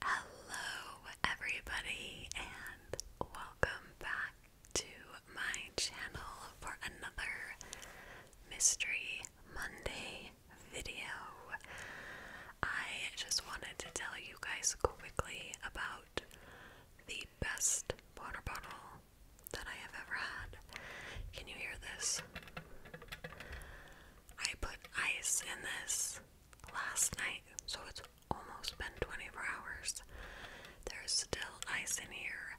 Hello, everybody, and welcome back to my channel for another Mystery Monday video. I just wanted to tell you guys quickly about the best water bottle that I have ever had. Can you hear this? I put ice in this last night, so it's almost been 24 hours. There's still ice in here.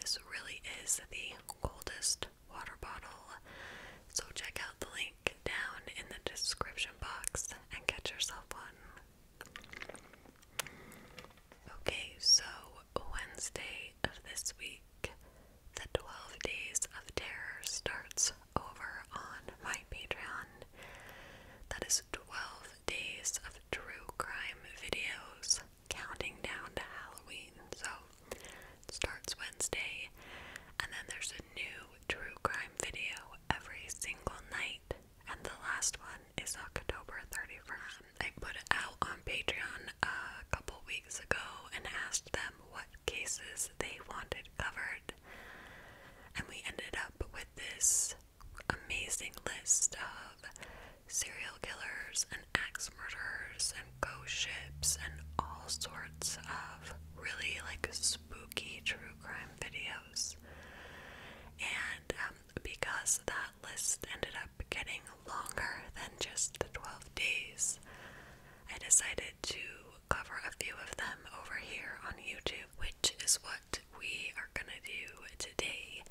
This really is the coldest water bottle. So check out the link down in the description box and get yourself one. Okay, so Wednesday of this week the 12 Days of Terror starts over on my Patreon. That is 12 days of true crime videos counting down to Halloween. So starts Wednesday, and then there's a new true crime video every single night. And the last one is October 31st. I put it out on Patreon a couple weeks ago and asked them what cases they wanted covered. And we ended up with this amazing list of serial killers and axe murderers and ghost ships and all sorts of really like spooky true crime videos. And um, because that list ended up getting longer than just the 12 days, I decided to cover a few of them over here on YouTube, which is what we are gonna do today.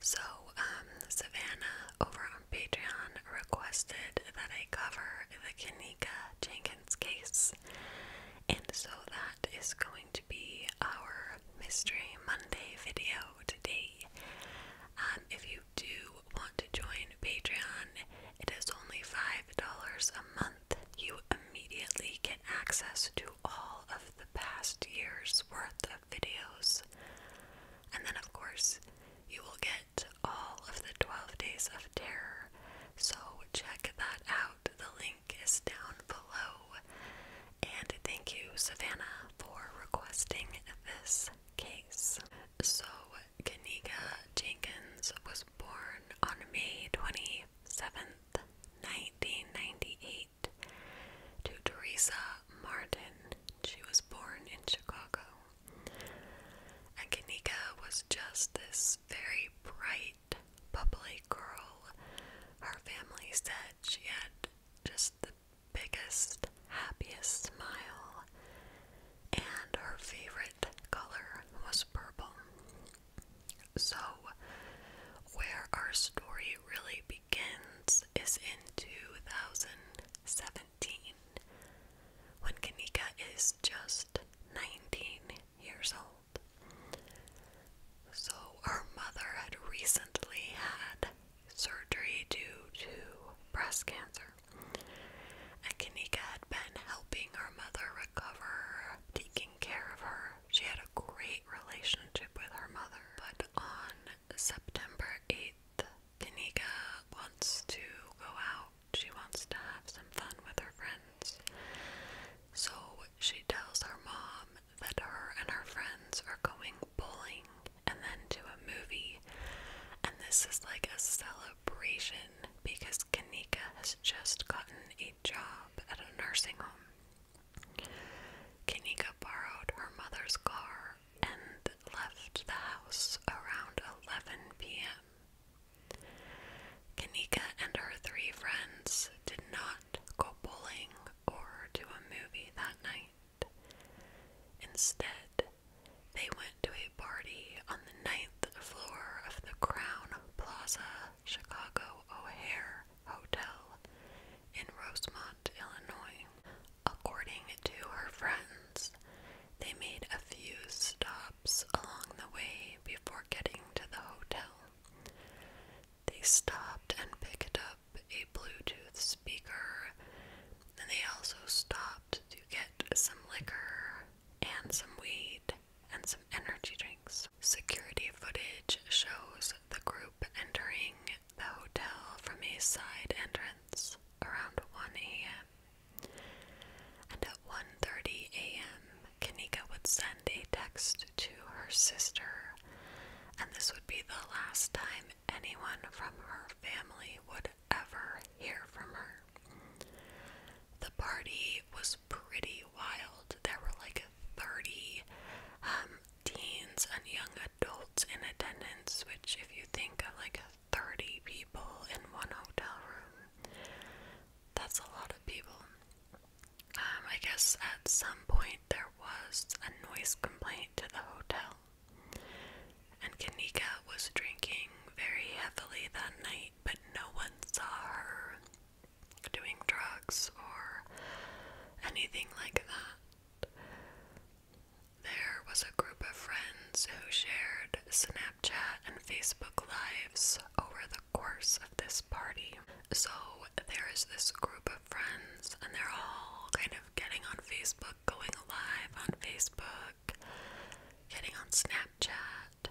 So, um, Savannah over on Patreon requested that I cover the Kanika Jenkins case, and so that is going to be our Mystery Monday video today. Um, if you do want to join Patreon, it is only $5 a month. You immediately get access to all of the past year's worth of videos. And then, of course, you will get all of the 12 Days of Terror. So, check that out. The link is down below. And thank you, Savannah, for requesting this case. So, Kaniga Jenkins was born on May 27th, 1998, to Teresa Martin. She was born in Chicago. And Kanika was just this very bright, bubbly girl. Her family said she had just the biggest, happiest smile. And her favorite color was purple. So, where our story really begins is in 2017 when Kanika is just 19 years old. So, her mother had recently had surgery due to breast cancer. And Kanika had been helping her mother recover, taking care of her. She had a great relationship with her mother. But on September 8th, Kanika wants to go out. She wants to have some fun with her friends. So she tells her mom that her and her friends are going bowling and then to a movie. And this is like a celebration because Kanika has just gotten a job at a nursing home. Kanika borrowed her mother's car and left the house around 11 p.m. Kanika and her three friends did not go bowling or to a movie that night. Instead, they went to a party on the ninth floor of the Crown Plaza Chicago O'Hare Hotel in Rosemont, Illinois. According to her friends, they made a few stops along the way before getting to the hotel. They stopped and picked up a Bluetooth speaker, and they also stopped to get some liquor and some weed and some energy drinks. Security footage shows the group entering the hotel from a side entrance around 1 a.m. And at 1:30 a.m., Kanika would send a text to her sister, and this would be the last time anyone from her family would ever hear from her. The party was pretty wild. There were like 30 um, teens and young adults in attendance, which, if you think of like 30 people in one hotel room, that's a lot of people. Um, I guess at some point there was a noise complaint to the hotel and Kanika was drinking very heavily that night, but no one saw her doing drugs or anything like that. There was a group of friends who shared Snapchat and Facebook lives over the course of this party. So there is this group of friends, and they're all kind of getting on Facebook, going live on Facebook, getting on Snapchat,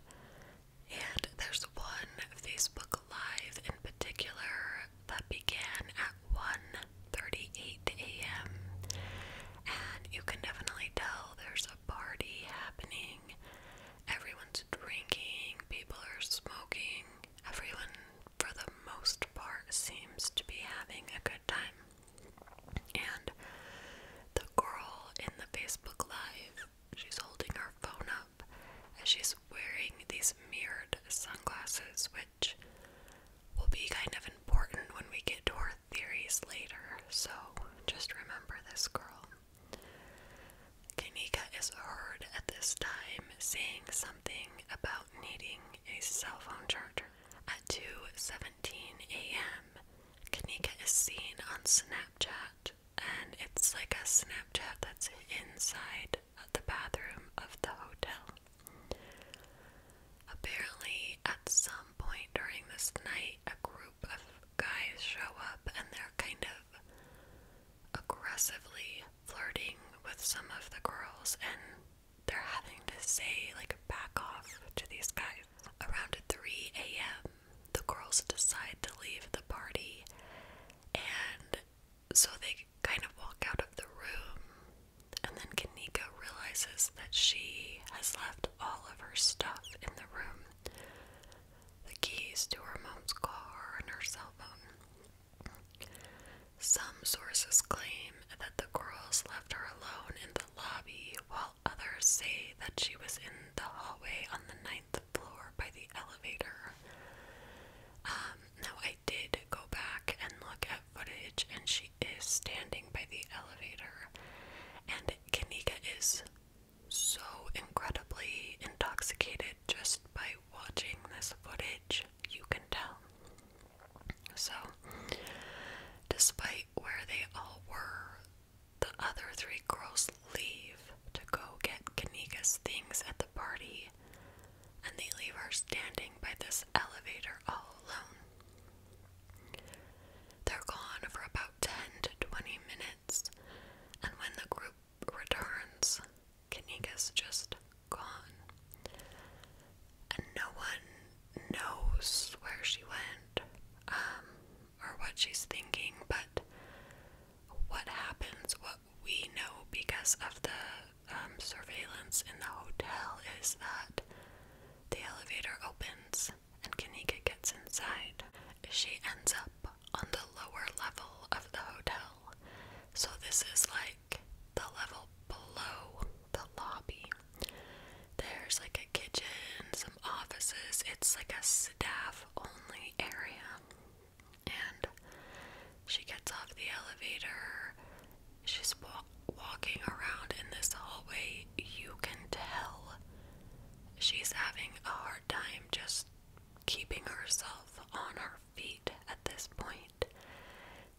and there's one Facebook Live in particular that began at 1:38 a.m. and you can definitely tell there's a party happening. Everyone's drinking, people are smoking. Everyone, for the most part, seems to be having a good time. And the girl in the Facebook Live, she's holding her phone up and she's wearing these mirrored sunglasses, which will be kind of important when we get to our theories later. So just remember this girl. Kanika is heard at this time saying something about needing a cell phone charger. At 2:17 a.m., Kanika is seen on Snapchat, and it's like a Snapchat that's inside the bathroom of the hotel. Apparently, at some point during this night, a group of guys show up and they're kind of aggressively flirting with some of the girls, and they're having to say, like, back off to these guys. Around 3 a.m., the girls decide to leave the party, and so they kind of walk out of the room. And then Kanika realizes that she has left all of her stuff in the room the keys to her mom's car and her cell phone. Some sources claim that the girls left her alone in the lobby while others say that she was in the hallway on the ninth floor by the elevator. Um, now, I did go back and look at footage, and she is standing by the elevator, and Kanika is so incredibly intoxicated just by watching this footage, you can tell. So, despite where they all were, the other three girls leave to go get Kanega's things at the party, and they leave her standing by this elevator all alone. They're gone for about 10 to 20 minutes, and when the group returns, Kanega's just gone. And no one knows where she went. Um, or what she's thinking, but what happens, what we know because of the um, surveillance in the hotel is that the elevator opens and Kanika gets inside. She ends up on the lower level of the hotel. So this is like the level below the lobby. There's like a kitchen, some offices. It's like a staff only area. And she gets off the elevator. She's walking around in this hallway. You can tell she's having a hard time just keeping herself on her feet at this point.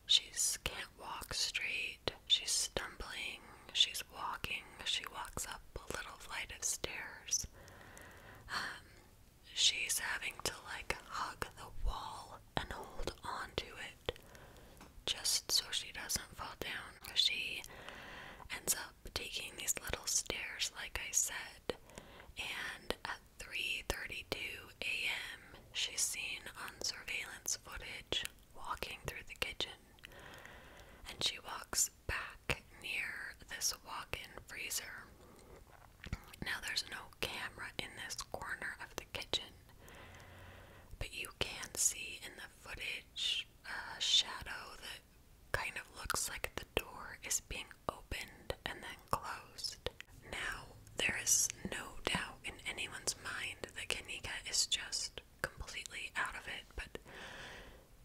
She can't walk straight. She's stumbling. She's walking, she walks up a little flight of stairs. Um, she's having to like hug the wall and hold onto it just so she doesn't fall down. She ends up taking these little stairs, like I said, and at 3:32 a.m., she's seen on surveillance footage walking through the kitchen and she walks back near this walk in freezer. Now, there's no camera in this corner of the kitchen, but you can see in the footage a shadow that kind of looks like the door is being opened and then closed. Now, there is no doubt in anyone's mind that Kanika is just completely out of it, but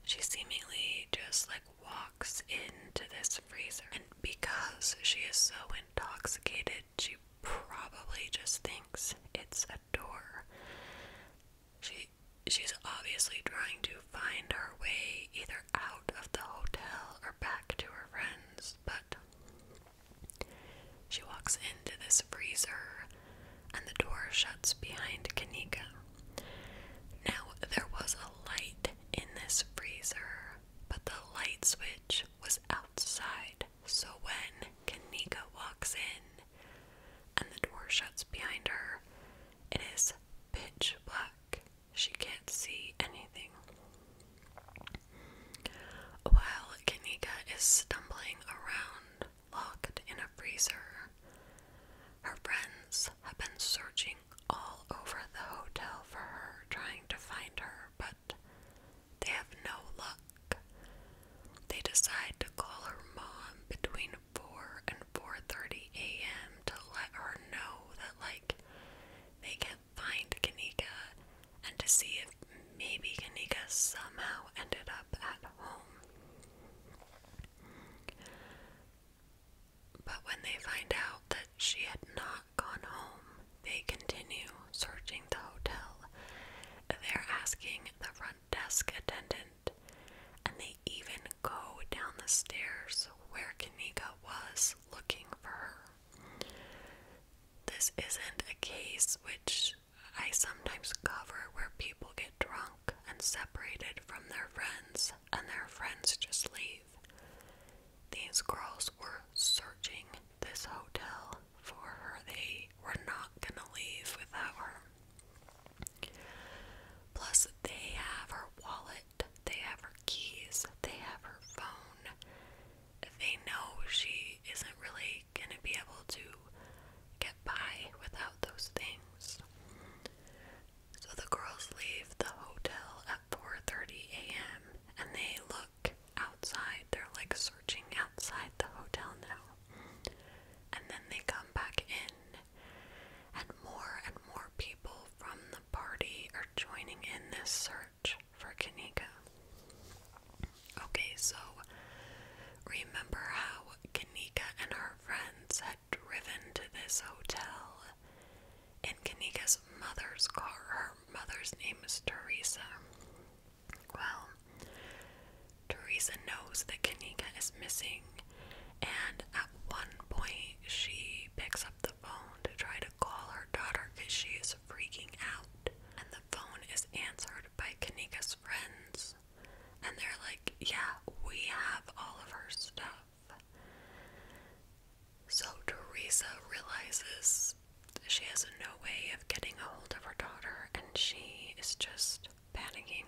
she seemingly just like walks into this freezer. And because she is so intoxicated, she probably just thinks it's a door. She she's obviously trying to find her way either out of the hotel or back to her friends, but she walks into this freezer and the door shuts behind Kanika. Now, there was a light in this freezer, but the light switch was outside, so when Kanika walks in and the door shuts behind her, it is pitch black. She can't see anything. While Kanika is stumbling around, locked in a freezer. Her friends have been searching all over the hotel for her, trying to find her, but they have no luck. They decide to call her mom between 4 and 4:30 a.m. to let her know that like they can't find Kanika and to see if maybe Kanika somehow ended up at home. But when they find out that she had not gone home, they continue searching the hotel. They're asking the front desk attendant, and they even go down the stairs where Kanika was looking for her. This isn't a case which I sometimes cover where people get drunk and separated from their friends, and their friends just leave. These girls were searching this hotel for her. They were not gonna leave without her. Plus, they have her wallet, they have her keys, they have her phone. They know she isn't really gonna be able to get by without those things. So the girls leave the hotel at 4:30 a.m. and they look outside. They're like searching outside the hotel now. And then they come back in and more and more people from the party are joining in this search for Kanika. Okay, so Remember how Kanika and her friends had driven to this hotel. In Kanika's mother's car, her mother's name is Teresa. Well, Teresa knows that Kanika is missing, and at one point she picks up the phone to try to call her daughter because she is freaking out. And the phone is answered by Kanika's friends. And they're like, yeah, we have all of her stuff. So Teresa realizes she has no way of getting a hold of her daughter and she is just panicking.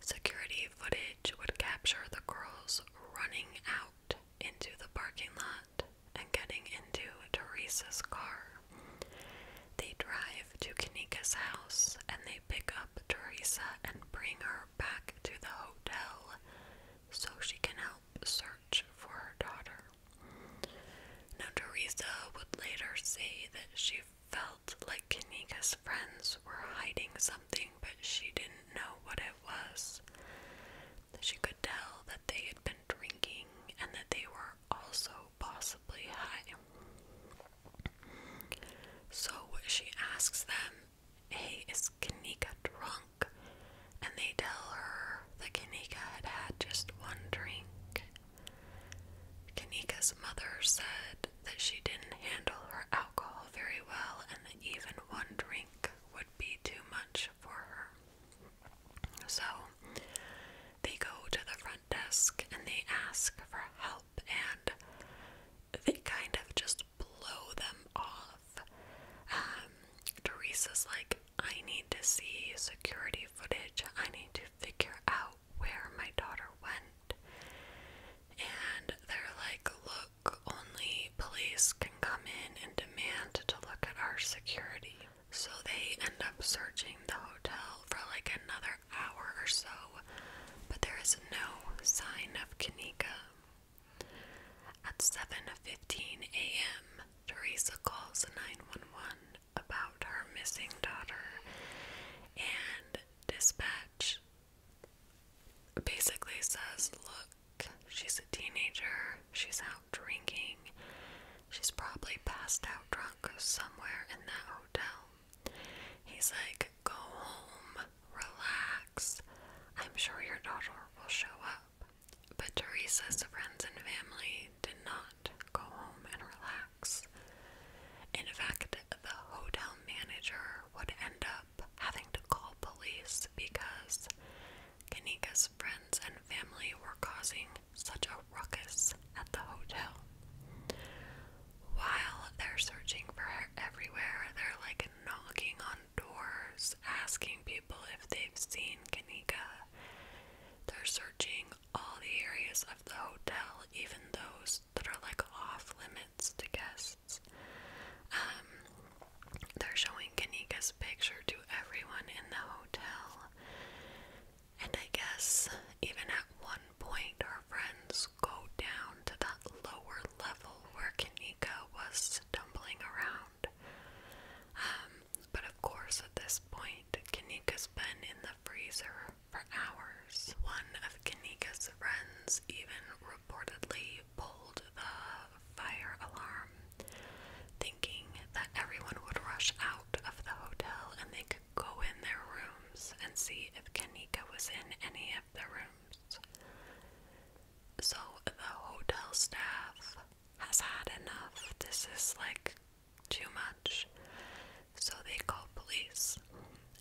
Security footage would capture the girls running out into the parking lot and getting into Teresa's car. They drive to Kanika's house and they pick up Teresa and bring her back to the hotel so she can help search for her daughter. Now, Teresa would later say that she felt like Kanika's friends were hiding something, but she didn't know what it was. She could tell that they had been drinking and that they were also possibly high. So she asks them, Hey, is Kanika drunk? And they tell her that Kanika had had just one drink. Kanika's mother said that she didn't handle her alcohol very well and that even one drink would be too much for her. So they go to the front desk and they ask for help and they kind of just blow them off. Um, Teresa's like, I need to see security footage. I need to figure out where my daughter went. And they're like, look, only police can come in and demand to look at our security. So they end up searching the hotel for like another hour or so, but there is no sign of Kanika. At 7:15 a.m., Teresa calls 911 about her missing daughter and dispatch basically says, "Look, she's a teenager. She's out drinking. She's probably passed out drunk somewhere in that hotel. He's like, go home, relax. I'm sure your daughter will show up. But Teresa's friends and family did not go home and relax. In fact, the hotel manager would end up having to call police because Kanika's friends and family were causing such a ruckus at the hotel. While they're searching for her everywhere, they're like knocking on doors, asking people if they've seen Kanika. They're searching all the areas of the hotel, even those that are like off limits to guests. Um, they're showing Kanika's picture to everyone in the hotel. And I guess even at one point, our friends go down to that lower level where Kanika was stumbling around. Um, but of course, at this point, Kanika's been in the freezer for hours. One of Kanika's friends even reportedly pulled the fire alarm, thinking that everyone would rush out of the hotel and they go in their rooms and see if Kanika was in any of the rooms. So the hotel staff has had enough. This is like too much. So they call police.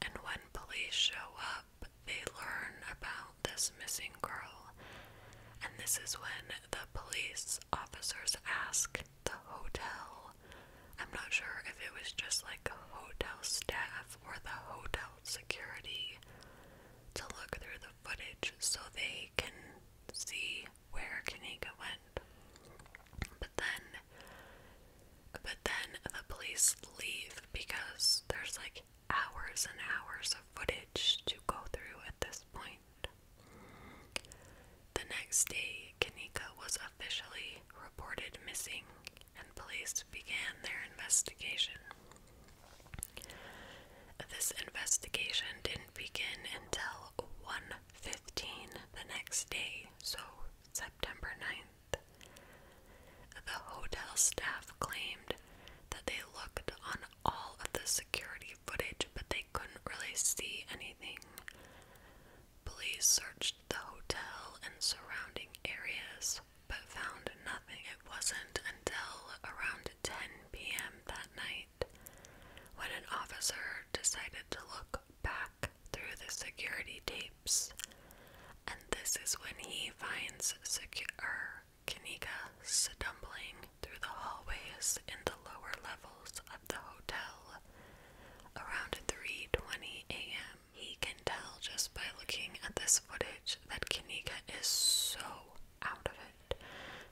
And when police show up, they learn about this missing girl. And this is when the police officers ask the hotel I'm not sure if it was just like hotel staff or the hotel security to look through the footage so they can see where Kanika went. But then but then the police leave because there's like hours and hours of footage to go through at this point. The next day, Kanika was officially reported missing, and police began their investigation. This investigation didn't begin until 1:15 the next day, so September 9th. The hotel staff claimed that they looked on all of the security footage, but they couldn't really see anything. Police searched the hotel and surrounding areas but found nothing. It wasn't until around 10 p.m. that night when an officer decided to look back through the security tapes. And this is when he finds secure er, Kanika stumbling through the hallways in the lower levels of the hotel around 3:20 a.m. He can tell just by looking at this footage that Kanika is so out of it.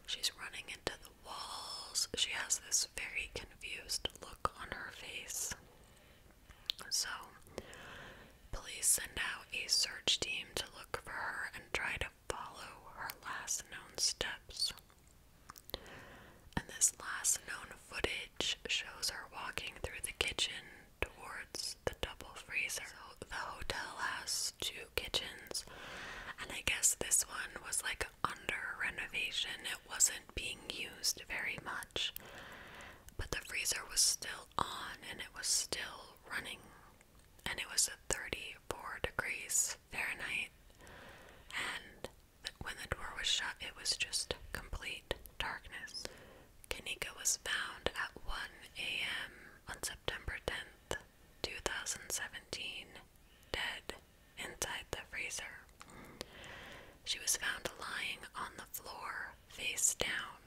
She's running into the walls. She has this very confused look on her face. So, please send out a search team to look for her and try to follow her last known steps. And this last known footage shows her walking through the kitchen towards the double freezer. the hotel has two kitchens, and I guess this one was like under renovation. It wasn't being used very much, but the freezer was still on and it was still running, and it was 34 degrees Fahrenheit. And when the door was shut, it was just complete darkness. Kanika was found at 1 a.m. on September 10th, 2017, dead inside the freezer. She was found lying on the floor, face down.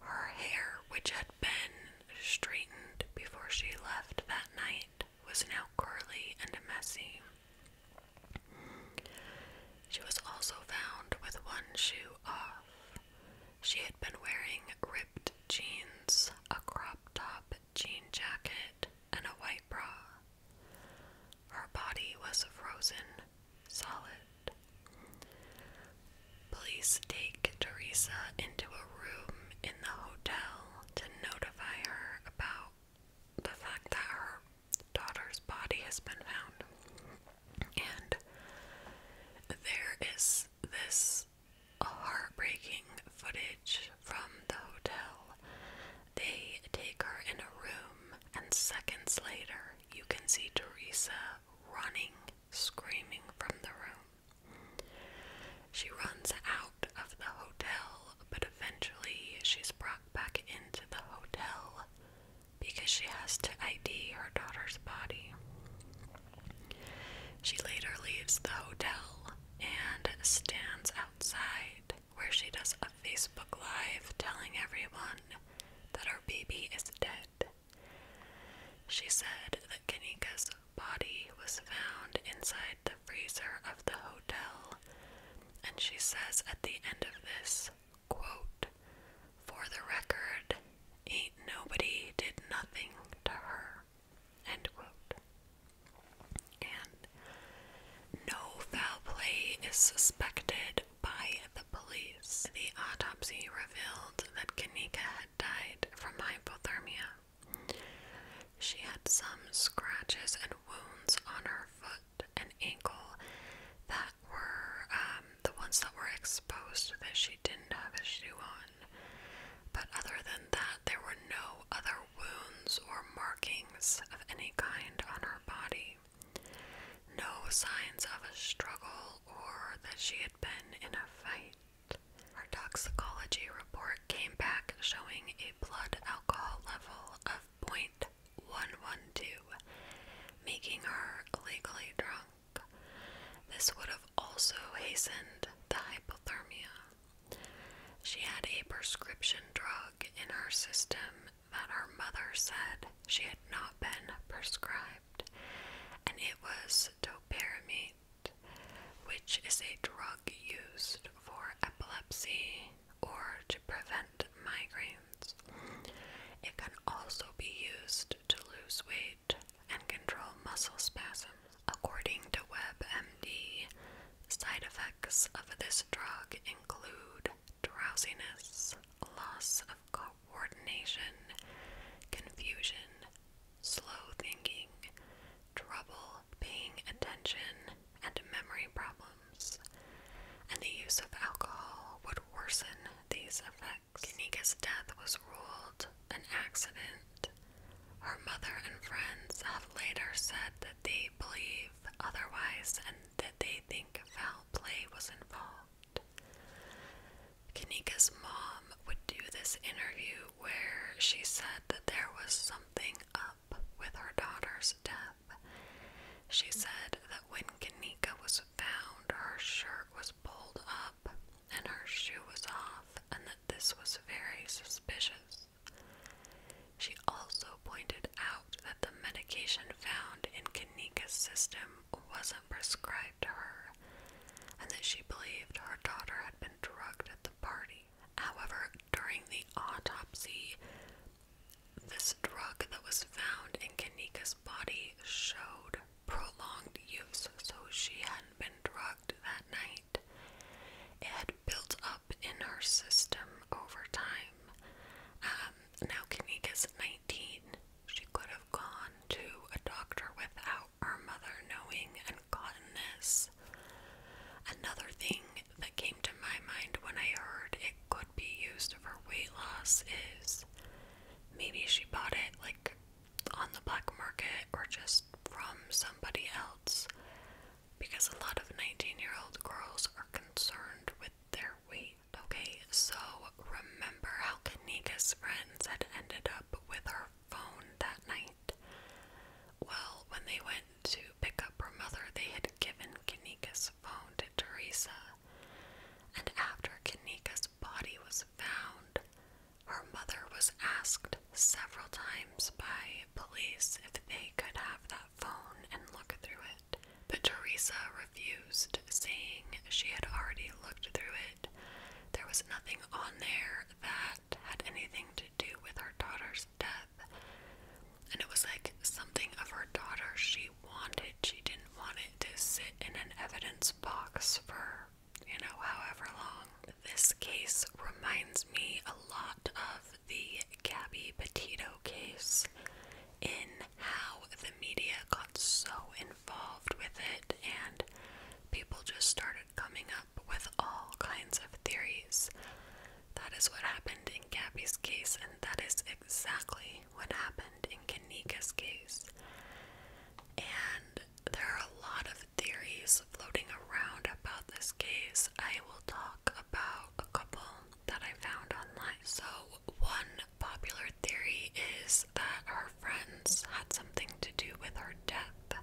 Her hair, which had been straightened before she left that night, was now curly and messy. She was also found with one shoe off. She had been wearing ripped jeans, a crop top jean jacket, and a white bra. Her body was frozen solid. Please take Teresa into a room in the hotel to notify her about the fact that her daughter's body has been found. And there is this heartbreaking footage from the hotel. They take her in a room, and seconds later, you can see Teresa running, screaming from the room. She runs out of the hotel, but eventually she's brought back into the hotel because she has to ID her daughter's body. She later leaves the hotel and stands outside where she does a Facebook Live telling everyone that her baby is dead. She said that Kanika's body was found inside the freezer of the hotel and she says at the end of this, quote, For the record, ain't nobody did nothing to her. End quote. And no foul play is suspected by the police. The autopsy revealed that Kanika had died from hypothermia. She had some scratches and wounds on her foot foot and ankle that were um, the ones that were exposed that she didn't have a shoe on. But other than that, there were no other wounds or markings of any kind on her body. No signs of a struggle or that she had been in a fight. Her toxicology report came back showing a blood alcohol level of of making her legally drunk. This would have also hastened the hypothermia. She had a prescription drug in her system that her mother said she had not been prescribed, and it was topiramate, which is a drug used for epilepsy or to prevent migraines. It can also be used to lose weight and control muscle spasms. According to WebMD, side effects of this drug include drowsiness, loss of coordination, confusion, slow thinking, trouble paying attention, and memory problems, and the use of alcohol would worsen these effects. Kanika's death was ruled an accident. Her mother and friends have later said that they believe otherwise and that they think foul play was involved. Kanika's mom would do this interview where she said that there was something up with her daughter's death. She said that when Kanika was found, her shirt was pulled up and her shoe was off, and that this was very suspicious. She also pointed out that the medication found in Kanika's system wasn't prescribed to her, and that she believed her daughter had been drugged at the party. However, during the autopsy, this drug that was found in Kanika's body showed prolonged use, so she hadn't been drugged that night. It had built up in her system over time. Um, now Kanika's 19. She could have gone to a doctor without her mother knowing and gotten this. Another thing that came to my mind when I heard it could be used for weight loss is maybe she bought it like on the black market or just from somebody else because a lot of 19 year old girls are concerned with their weight. Okay, so remember how Kanika's friends had ended up with her phone that night? Well, when they went to pick up her mother, they had given Kanika's phone to Teresa. And after Kanika's body was found, her mother was asked several times by police if they could have that phone and look through it. But Teresa refused, saying she had already looked through it. There was nothing on there that had anything to do with her daughter's death. And it was like something of her daughter she wanted. She didn't want it to sit in an evidence box for, you know, however long. This case reminds me a lot of the Gabby Petito case in how the media got so involved with it and people just started coming up with all kinds of theories. That is what happened in Gabby's case, and that is exactly what happened in Kanika's case. And there are a lot of theories floating around about this case. I will talk about a couple that I found online. So, one popular theory is that her friends had something to do with her death.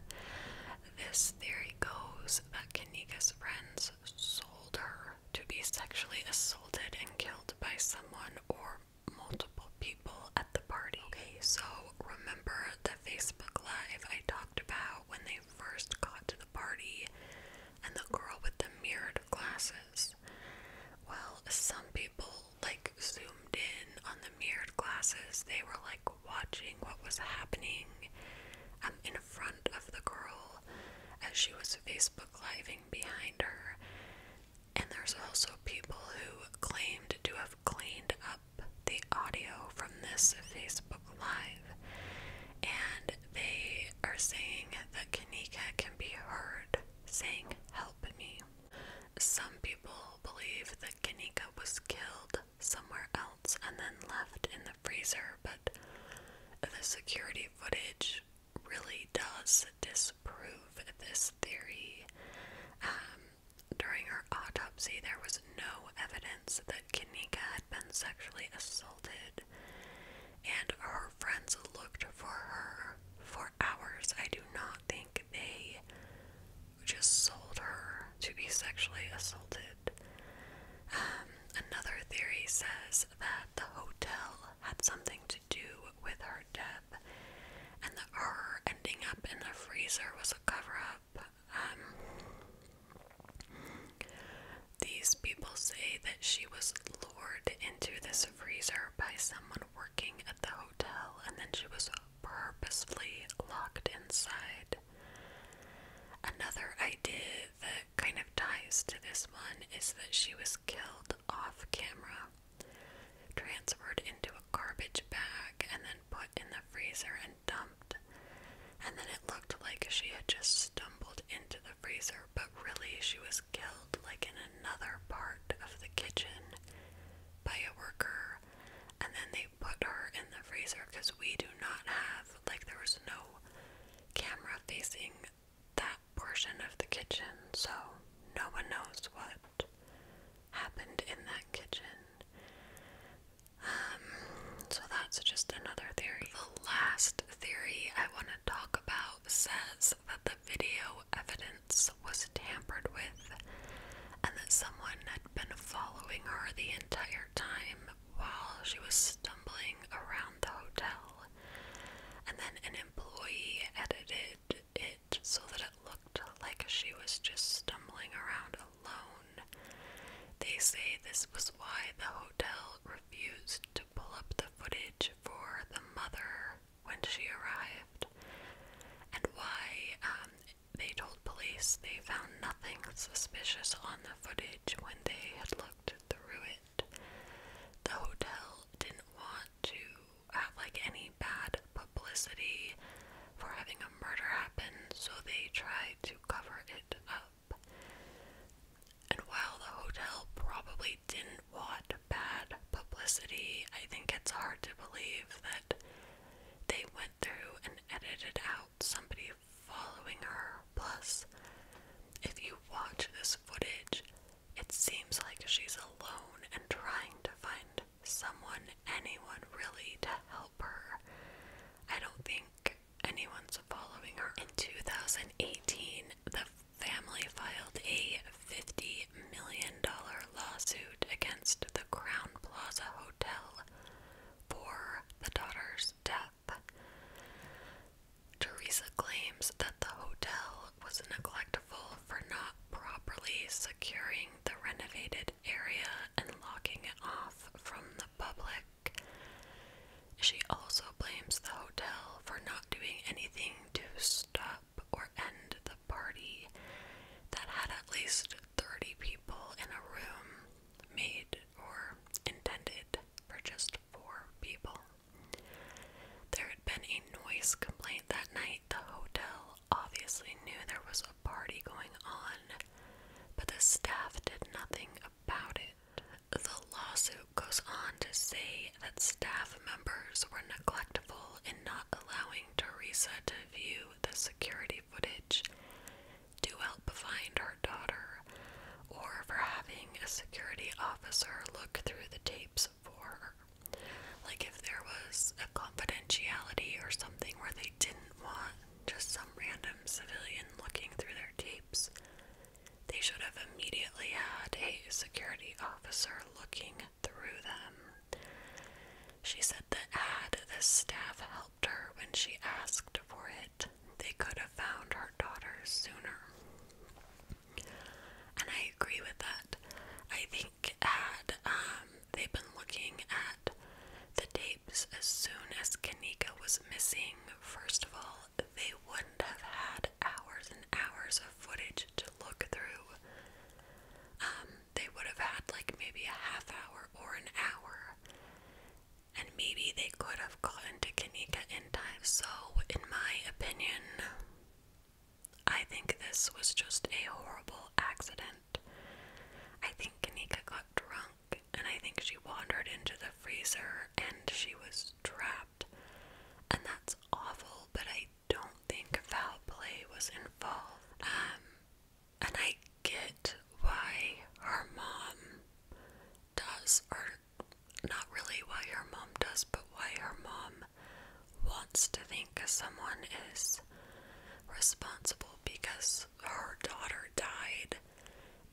This theory goes that Kanika's friends sold her to be sexually assaulted and killed by someone or multiple people at the party. Okay, so remember the Facebook Live I talked about when they first got to the party and the girl with the mirrored glasses? Well, some people like zoomed in on the mirrored glasses, they were like watching what was happening. Um, front of the girl as she was Facebook living behind her. And there's also people who claimed to have cleaned up the audio from this Facebook Live. And they are saying that Kanika can be heard saying, Help me. Some people believe that Kanika was killed somewhere else and then left in the freezer, but the security footage research really does disprove this theory. Um, during her autopsy, there was no evidence that Kanika had been sexually assaulted, and her friends looked for her for hours. I do not think they just sold her to be sexually assaulted. Um, another theory says that the hotel had something to do with her death, and that her ending up in the freezer was a cover up. Um, these people say that she was lured into this freezer by someone working at the hotel, and then she was purposefully locked inside. Another idea kind of ties to this one is that she was killed off camera, transferred into a garbage bag, and then put in the freezer and dumped. And then it looked like she had just stumbled into the freezer, but really she was killed like in another part of the kitchen by a worker. And then they put her in the freezer because we do not have, like, there was no camera facing that portion of the kitchen, so no one knows what happened in that kitchen. Um, so that's just another theory. The last theory I want to talk about says that the video evidence was tampered with and that someone had been following her the entire time while she was stumbling around the hotel and then an employee edited it so that it looked like she was just stumbling around alone. They say this was why the hotel refused to pull up the footage for the mother when she arrived, and why um, they told police they found nothing suspicious on the footage when they had looked through it. The hotel didn't want to have like any bad publicity for having a murder happen, so they tried to cover it up. And while the hotel probably didn't want bad publicity, I think it's hard to believe that they went through and edited out somebody following her Plus, if you watch this footage, it seems like she's alone and trying to find someone, anyone really, to help her. I don't think anyone's following her. In 2018, the family filed a $50 million lawsuit against the Crown Plaza Hotel for the daughter's death death. claims that the hotel was neglectful for not properly securing the renovated area and locking it off from the public. She also blames the hotel for not doing anything to stop or end the party that had at least 30 people in a room made or intended for just four people. There had been a noise complaint that night. The hotel obviously knew there was a party going on, but the staff did nothing about it. The lawsuit goes on to say that staff members were neglectful in not allowing Teresa to view the security footage to help find her daughter or for having a security officer look through the tapes for Like if there was a confidentiality or something where they didn't want just some random civilian looking through their tapes, they should have immediately had a security officer looking through them. She said that had the staff helped her when she asked for it, they could have found her daughter sooner. And I agree with that. I think had um, they've been looking at the tapes as soon as Kanika was missing, first of all, they wouldn't have had hours and hours of footage to look through. Um, they would have had like maybe a half hour or an hour. And maybe they could have have gotten Kanika in time, so in my opinion, I think this was just a horrible accident. I think Kanika got drunk, and I think she wandered into the freezer and she was trapped. And that's awful, but I don't think foul play was involved. Um, and I get why her mom does, or not really why her mom does, but why her mom wants to think someone is responsible because her daughter died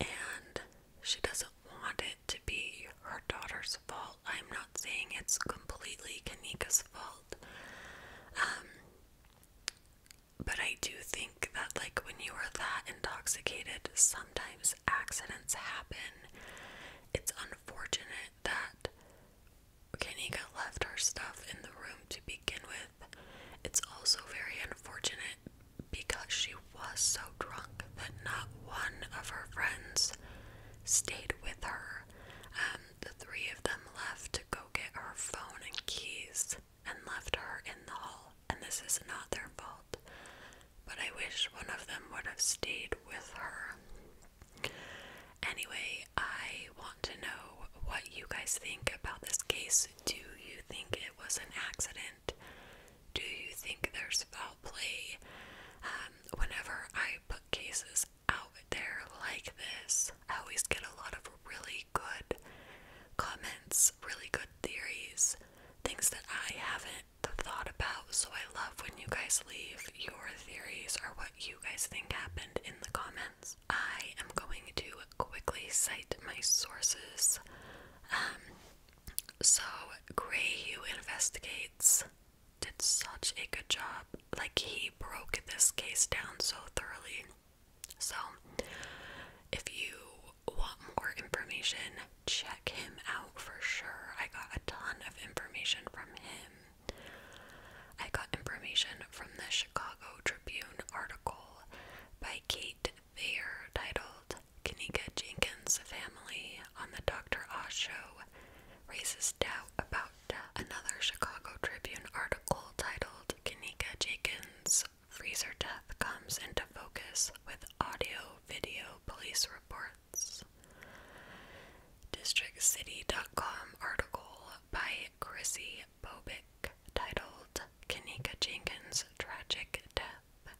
and she doesn't want it to be her daughter's fault. I'm not saying it's completely Kanika's fault. Um, but I do think that, like, when you are that intoxicated, sometimes accidents happen. It's unfortunate that Kanika left her stuff in the room to begin with. It's also very unfortunate because she was so drunk that not one of her friends stayed with her. Um, the three of them left to go get her phone and keys and left her in the hall. And this is not their fault but I wish one of them would have stayed with her. Anyway, I want to know what you guys think about this case. Do you think it was an accident? Do you think there's foul play? Um, whenever I put cases out there like this, I always get a lot of really good comments, really good theories, things that I haven't thought about. So I love when you guys leave your theories or what you guys think happened in the comments. I am going to quickly cite my sources. Um, so Greyhue investigates did such a good job. Like he broke this case down so thoroughly. So if you want more information, check him out for sure. I got a ton of information from him. I got information from the Chicago Tribune article by Kate Thayer titled Kanika Jenkins' Family on the Dr. O Show Raises Doubt About Another Chicago Tribune article titled Kanika Jenkins' Freezer Death Comes into Focus with Audio Video Police Report DistrictCity.com article by Chrissy Bobick titled Kanika Jenkins' Tragic Death.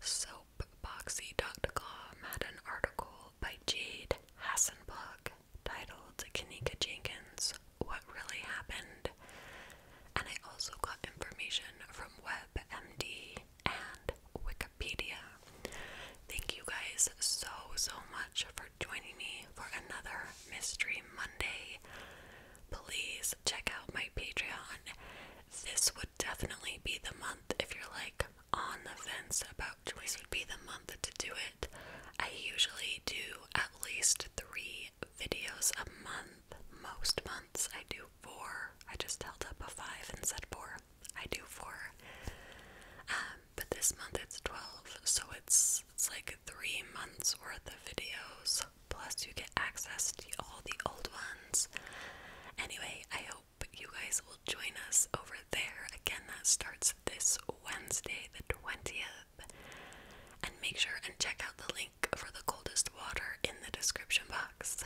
Soapboxy.com had an article by Jade Hassenblug titled Kanika Jenkins What Really Happened. And I also got information from WebMD and Wikipedia. Wikipedia. Thank you guys so, so much for joining me for another Mystery Monday. Please check out my Patreon. This would definitely be the month if you're like on the fence about choice would be the month to do it. I usually do at least three videos a month. Most months I do four. I just held up a five and said four. I do four. Um, but this month it's 12, so it's it's like three months worth of videos. Plus, you get access to all the old ones. Anyway, I hope you guys will join us over there. Again, that starts this Wednesday, the 20th. And make sure and check out the link for the coldest water in the description box.